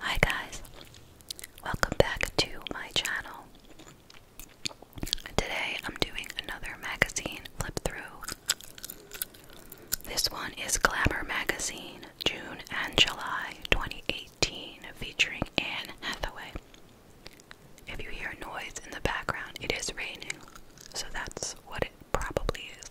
Hi guys, welcome back to my channel. Today I'm doing another magazine flip through. This one is Glamour Magazine, June and July 2018, featuring Anne Hathaway. If you hear noise in the background, it is raining, so that's what it probably is.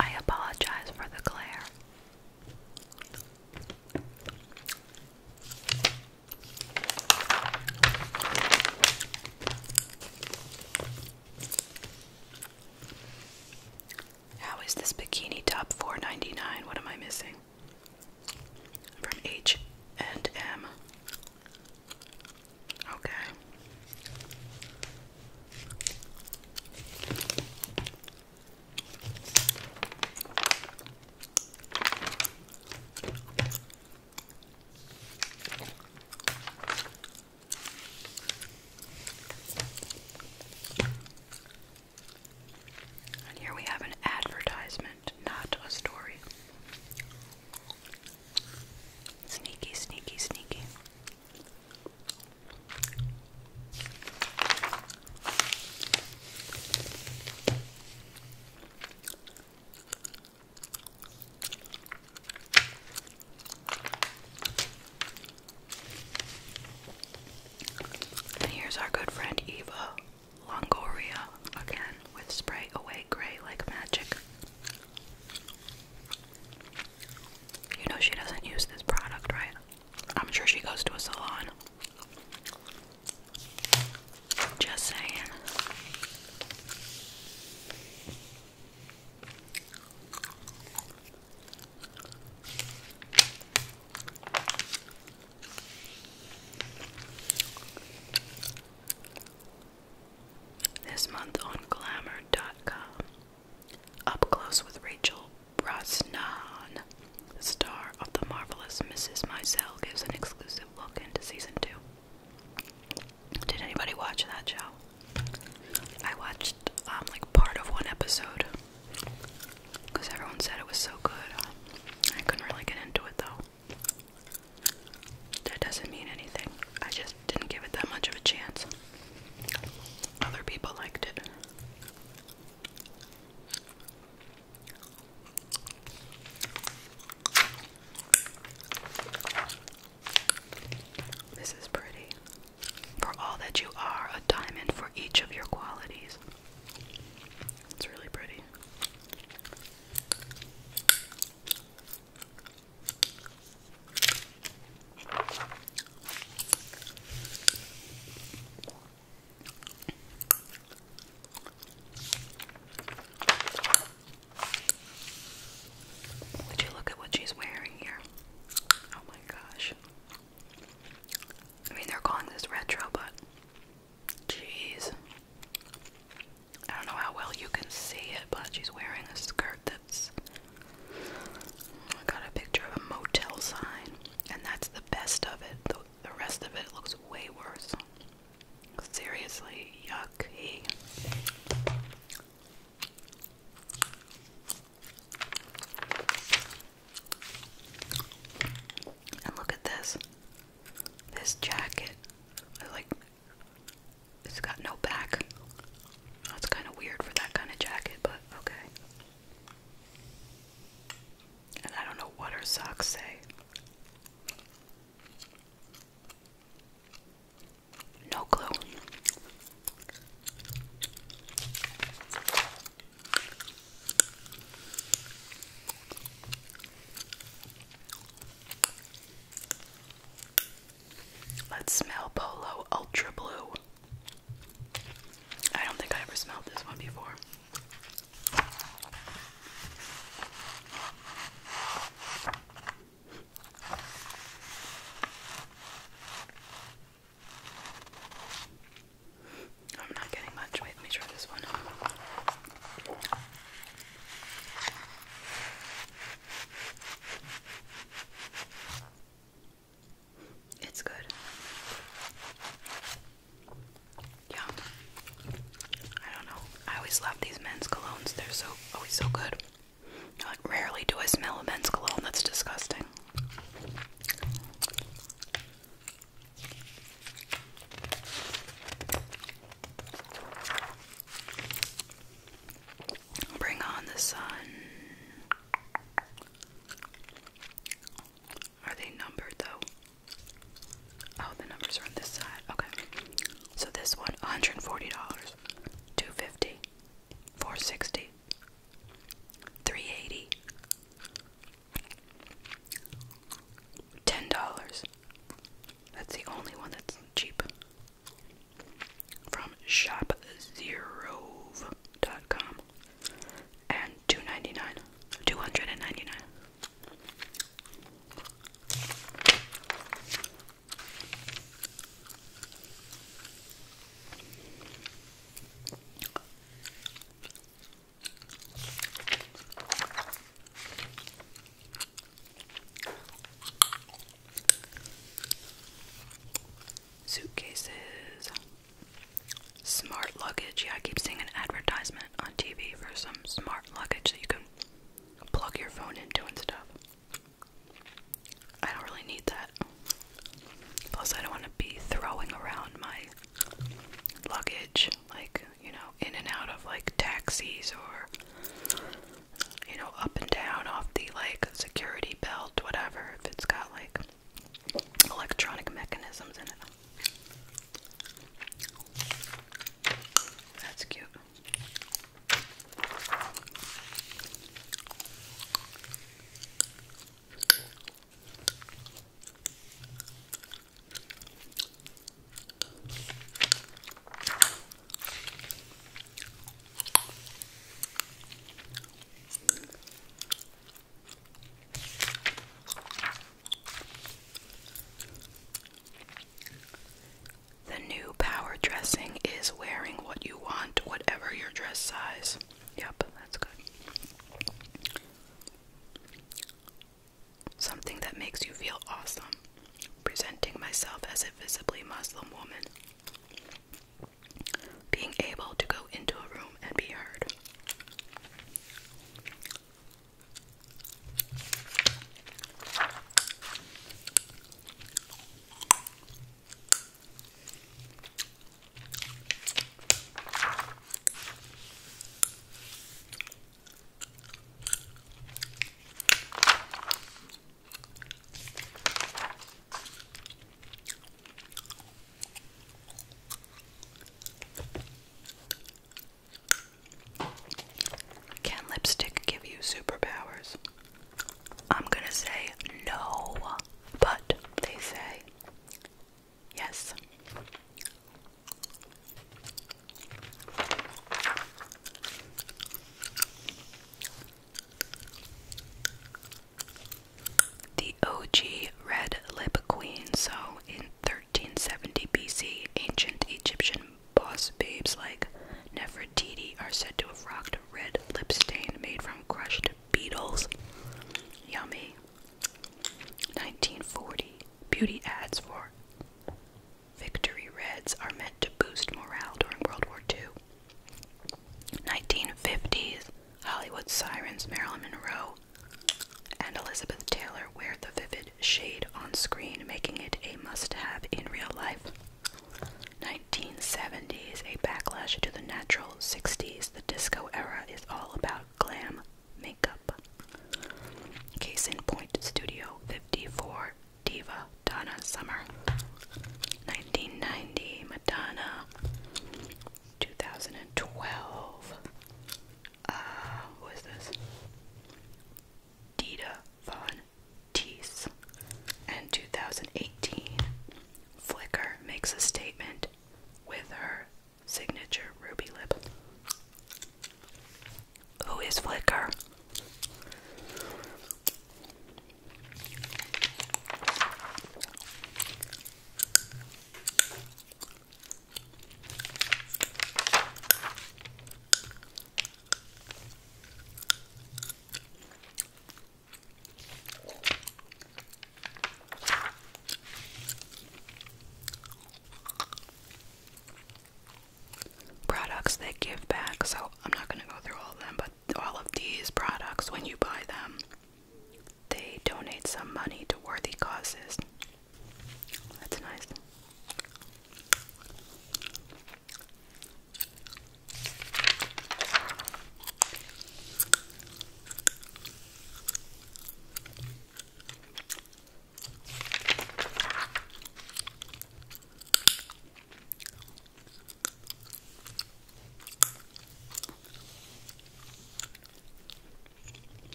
I apologize for the glare. How is this bikini top four ninety nine? What am I missing? From H and M. Okay. And here we have an advertisement, not a story. Sneaky, sneaky, sneaky. And here's our good friend Eva Longoria again with spray away gray like magic. You know she doesn't use this product, right? I'm sure she goes to a salon. Just saying. This month on glamour.com up Close with Rachel Brosnan, the star of The Marvelous Mrs. Maisel, gives an exclusive look into season two. Did anybody watch that show? I watched um, like part of one episode because everyone said it was so good. I couldn't really get into it though. That doesn't mean anything. I just didn't give it that much of a chance. Other people liked it. This is pretty. For all that you are, a diamond for each of your qualities. It's really pretty. Would you look at what she's wearing here? Oh my gosh. I mean, they're calling this retro, but jeez. I don't know how well you can see it, but she's wearing a skirt that's I got a picture of a motel sign, and that's the best of it. The, rest of it looks way worse. Seriously, yucky. And look at this. This jacket. like it's got no back. That's kind of weird for that kind of jacket, but okay. And I don't know what her socks say. No clue. Let's smell Polo Ultra Blue. I don't think I ever smelled this one before. I'm not getting much. let me try this one. It's good. Yeah. I don't know. I always love these men's colognes. They're so always so good. rarely do I smell a men's cologne. That's disgusting. Bring on the sun. Are they numbered though? Oh, the numbers are on this side. Okay. So this one, $140, 250 dollars That's the only one that's cheap from shopzerove.com and two ninety nine, two hundred and ninety nine. Suitcases. Smart luggage. Yeah, I keep seeing an advertisement on TV for some smart luggage that you can plug your phone into and stuff. I don't really need that. Plus, I don't want to be throwing around my luggage, like, you know, in and out of like taxis or you know, up and down off the like security belt, whatever, if it's got like electronic mechanisms in it. That's cute. The new power dressing is wearing what you want, whatever your dress size. Yep, that's good. Something that makes you feel awesome presenting myself as a visibly Muslim woman, being able to go into a room and be heard. Can lipstick give you superpowers? I'm gonna say no, but they say yes. The OG Red Lip Queen, so in 1370 BC, ancient Egyptian boss babes like Nefertiti are said to have rocked a red lip stain made from crushed beetles. Yummy. 1940. Beauty ads for Victory Reds are meant to boost morale during World War II. 1950s, Hollywood sirens Marilyn Monroe and Elizabeth Taylor wear the vivid shade on screen, making it a must have in real life. 1970s, a backlash to the natural 60s. The disco era is all about glam makeup. Case in point, Studio 54 diva Donna Summer. 1990 Madonna. 2012. Uh, who is this? Dita Von Teese. And 2018, Flicker makes a statement with her signature ruby lip. Oh, Who is flicker products that give back. So I'm not going to go through all of them, but all of these products, when you buy them, they donate some money to worthy causes. That's nice.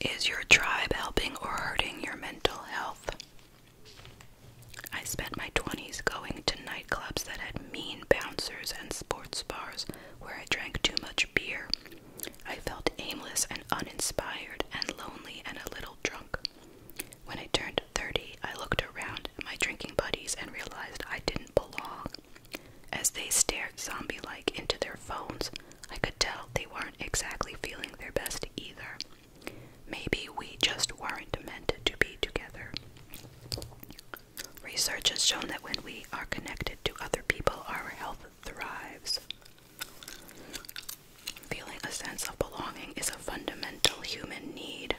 Is your tribe helping or hurting your mental health? I spent my 20s going to nightclubs that had mean bouncers and sports bars where I drank too much beer. I felt aimless and uninspired and lonely and a little drunk. When I turned 30, I looked around at my drinking buddies and realized I didn't belong. As they stared zombie like into their phones, I could tell they weren't exactly feeling their best either. Maybe we just weren't meant to be together. Research has shown that when we are connected to other people, our health thrives. Feeling a sense of belonging is a fundamental human need.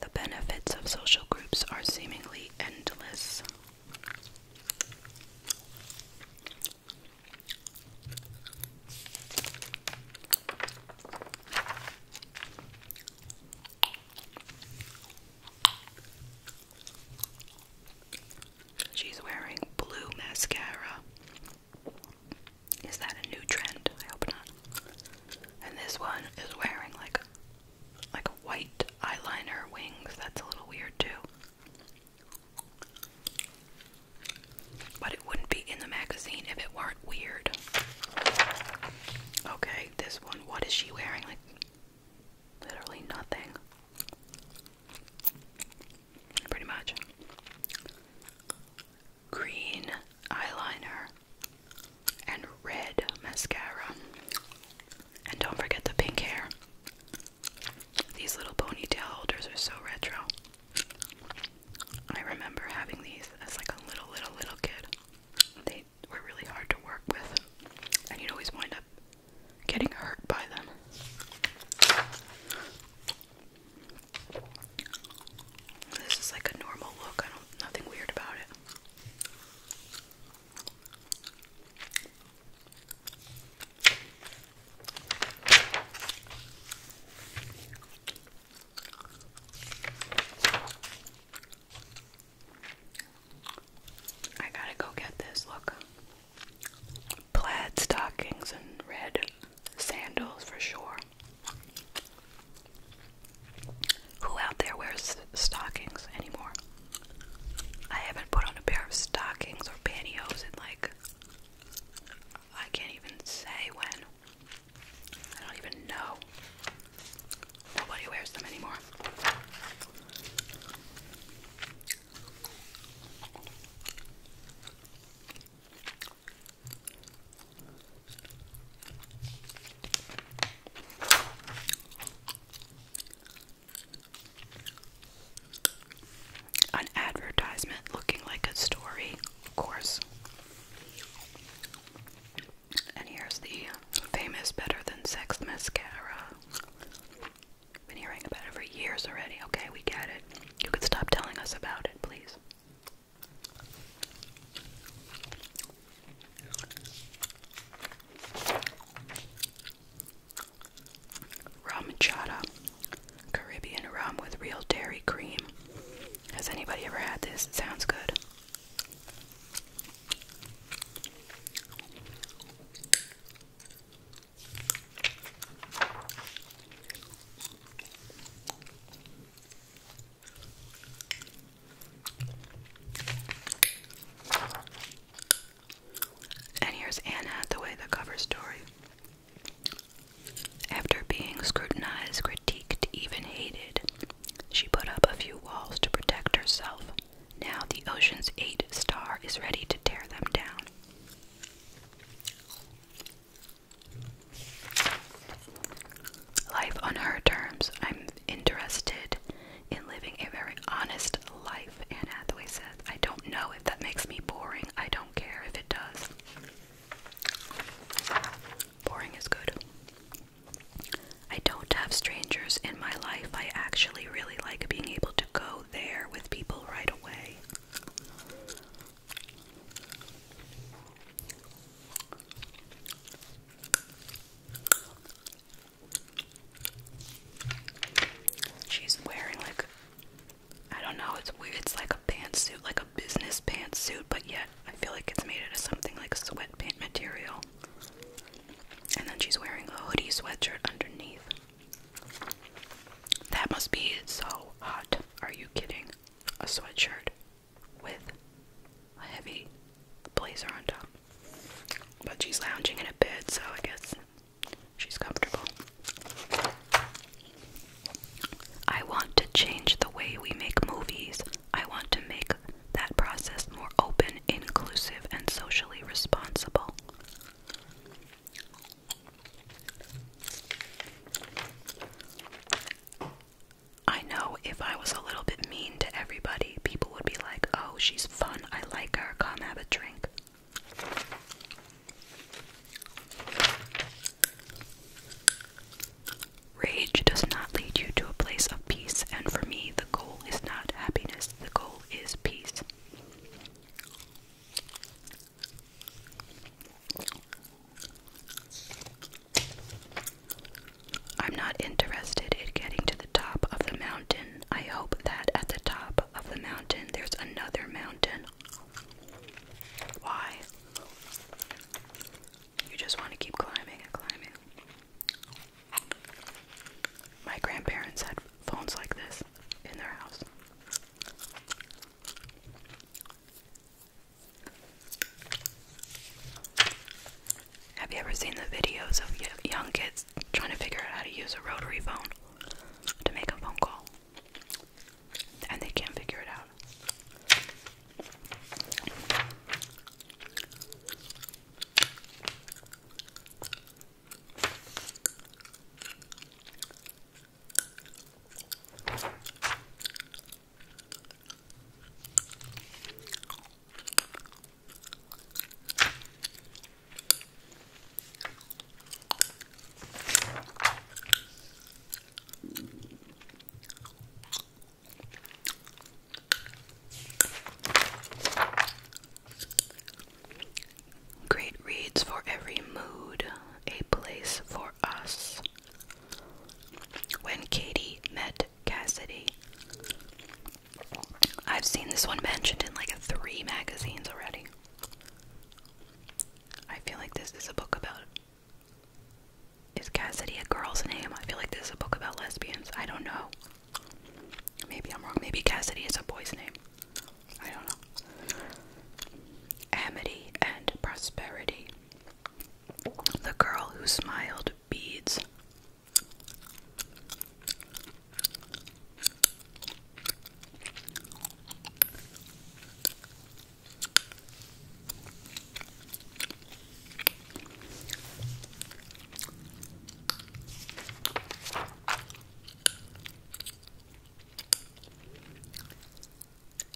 The benefits of social groups are seemingly endless. She's wearing blue mascara. Is that a new trend? I hope not. And this one is wearing like like a white eyeliner wings. That's a little weird too. But it wouldn't be in the magazine if it weren't weird. Okay, this one. What is she wearing? Like, literally nothing. Pretty much. Green eyeliner and red mascara. And don't forget the pink hair. These little ponytail holders are so retro. I remember having these as like a little, little, little kid. They were really hard to work with, and you'd always wind up getting hurt by them. This is like a normal look. I don't nothing weird about it. I gotta go get this. Look. Plaid stockings and red sandals for sure. Who out there wears stockings anymore? I haven't put on a pair of stockings or pantyhose in like I can't even say when. I don't even know. Nobody wears them anymore. An advertisement looking like a story, of course. And here's the famous Better Than Sex mascara. Been hearing about it for years already. Okay, we get it. You could stop telling us about it, please. Rum chata, Caribbean rum with real dairy cream. Has anybody ever had this? It sounds good. And here's Anne Hathaway, the cover story. After being scrutinized, critiqued, even hated, she put up a few walls to protect herself. Now the Ocean's Eight star is ready to tear them down life on her terms. I'm interested in living a very honest life, Anne Hathaway says. I don't know if that makes me boring. I don't care if it does. Boring is good. I don't have strangers in my life. I actually really like being able to go there with people right away. She's wearing like I don't know, it's It's like a pantsuit, like a business pantsuit, but yet I feel like it's made out of something like sweatpant material. And then she's wearing a hoodie sweatshirt underneath. That must be so hot. Are you kidding? A sweatshirt with a heavy blazer on top. But she's lounging in a bed, so I guess she's comfortable. I want to change the way we make movies. I want to make that process more open, inclusive, and socially responsible. I know if I was a little bit mean to everybody, people would be like, oh, she's fun, I like her, come have a drink. Rage does not lead you to a place of peace, and for me, the goal is not happiness, the goal is peace. I'm not interested in getting to the top of the mountain. I hope that at the top of the mountain there's another mountain. Why? You just want to keep climbing and climbing. My grandparents had phones like this in their house. Have you ever seen the videos of young kids trying to figure out how to use a rotary phone to make a phone call? And they can't figure it out. Great reads for every mood, a place for us. When Katie met Cassidy. I've seen this one mentioned in like three magazines already. I feel like this is a book about. Is Cassidy a girl's name? I feel like this is a book about lesbians. I don't know. Maybe I'm wrong. Maybe Cassidy is a boy's name. I don't know. Amity and Prosperity. The girl who smiled beads.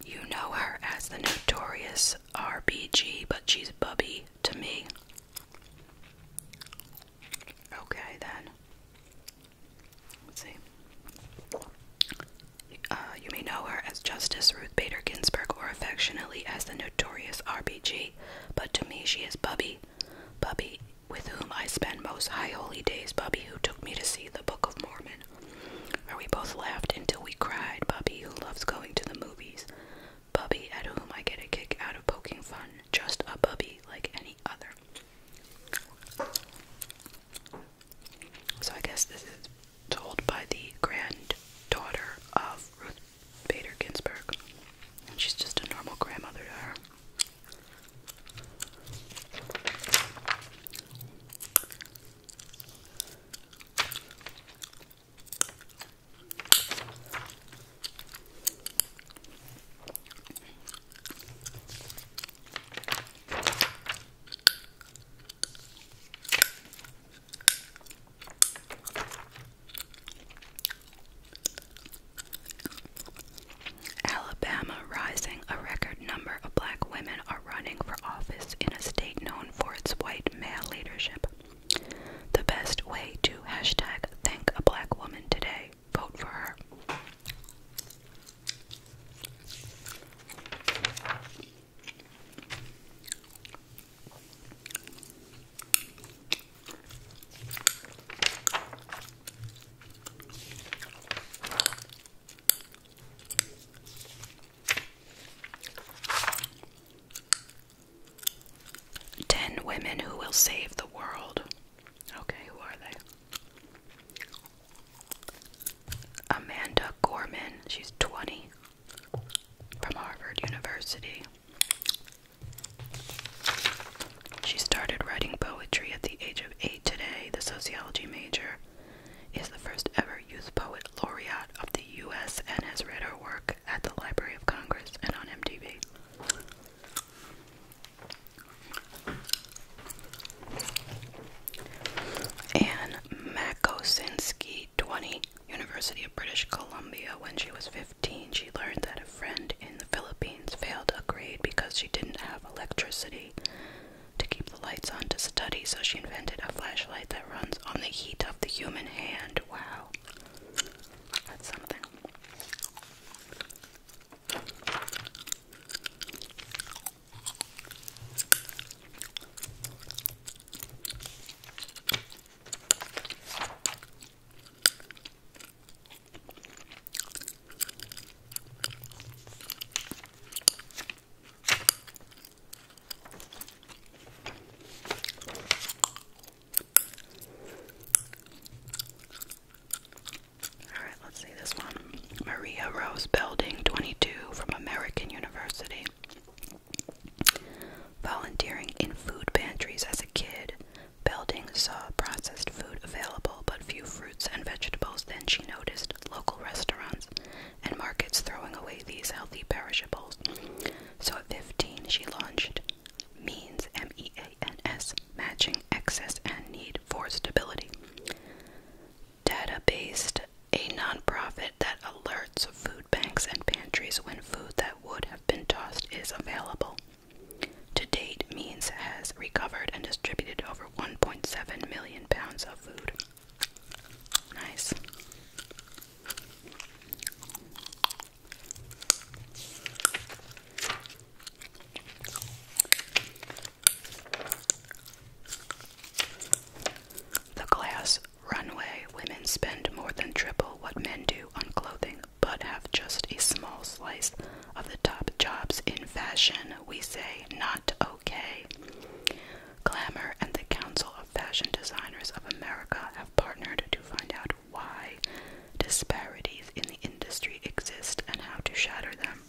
You know her as the notorious RBG, but she's Bubby to me. Okay, then. Let's see. Uh, you may know her as Justice Ruth Bader Ginsburg or affectionately as the notorious RBG, but to me she is Bubby. Bubby, with whom I spend most high holy days. Bubby, who took me to see the Book of Mormon children, we both laughed until we cried. Bubby, who loves going to the movies, Bubby, at whom I get a kick out of poking fun, just a Bubby like any other. So I guess this is told by the granddaughter of Ruth Bader Ginsburg, and she's just a normal grandmother to her. Alabama rising. A record number of black women are running for office in a state known for its white male leadership. The best way to hashtag thank a black woman today, vote for her. Ten women who will save the world. Okay, who are they? Amanda Gorman, she's 20, from Harvard University. She started writing poetry at the age of eight today, the sociology major is the first ever youth poet laureate of the U.S. and has read her work at the Library of Congress and on MTV. Anne Makosinski, 20, University of British Columbia. When she was 15, she learned that a friend in the Philippines failed a grade because she didn't have electricity. To keep the lights on to study, so she invented a flashlight that runs on the heat of the human hand. Wow. That's something. Alright, let's see this one. Maria Rose Building 22 from American University. Volunteering in food pantries as a kid, Belding saw processed food available but few fruits and vegetables. Then she noticed local restaurants and markets throwing away these healthy perishables. So at 15, she launched Means, M E A N S, matching excess and need for stability. Data based, a nonprofit that alerts food banks and pantries when food that would have been tossed is available. To date, Means has recovered and distributed over 1.7 million pounds of food. Nice. The glass runway women spend more than triple what men do on clothing, but have just a small slice of the top jobs in fashion. We say not okay. Glamour and the Council of Fashion Designers of America have partnered to find out why disparities in the industry exist and how to shatter them.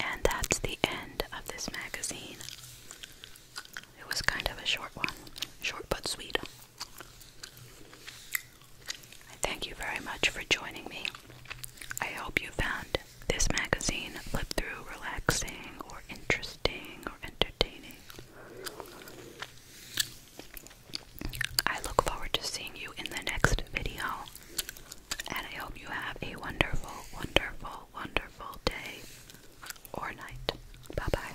And that's the end of this magazine. It was kind of a short one, short but sweet. I thank you very much for joining me. I hope you found this magazine flip through relaxing or interesting or entertaining. I look forward to seeing you in the next video, and I hope you have a wonderful, wonderful, wonderful day or night. Bye bye.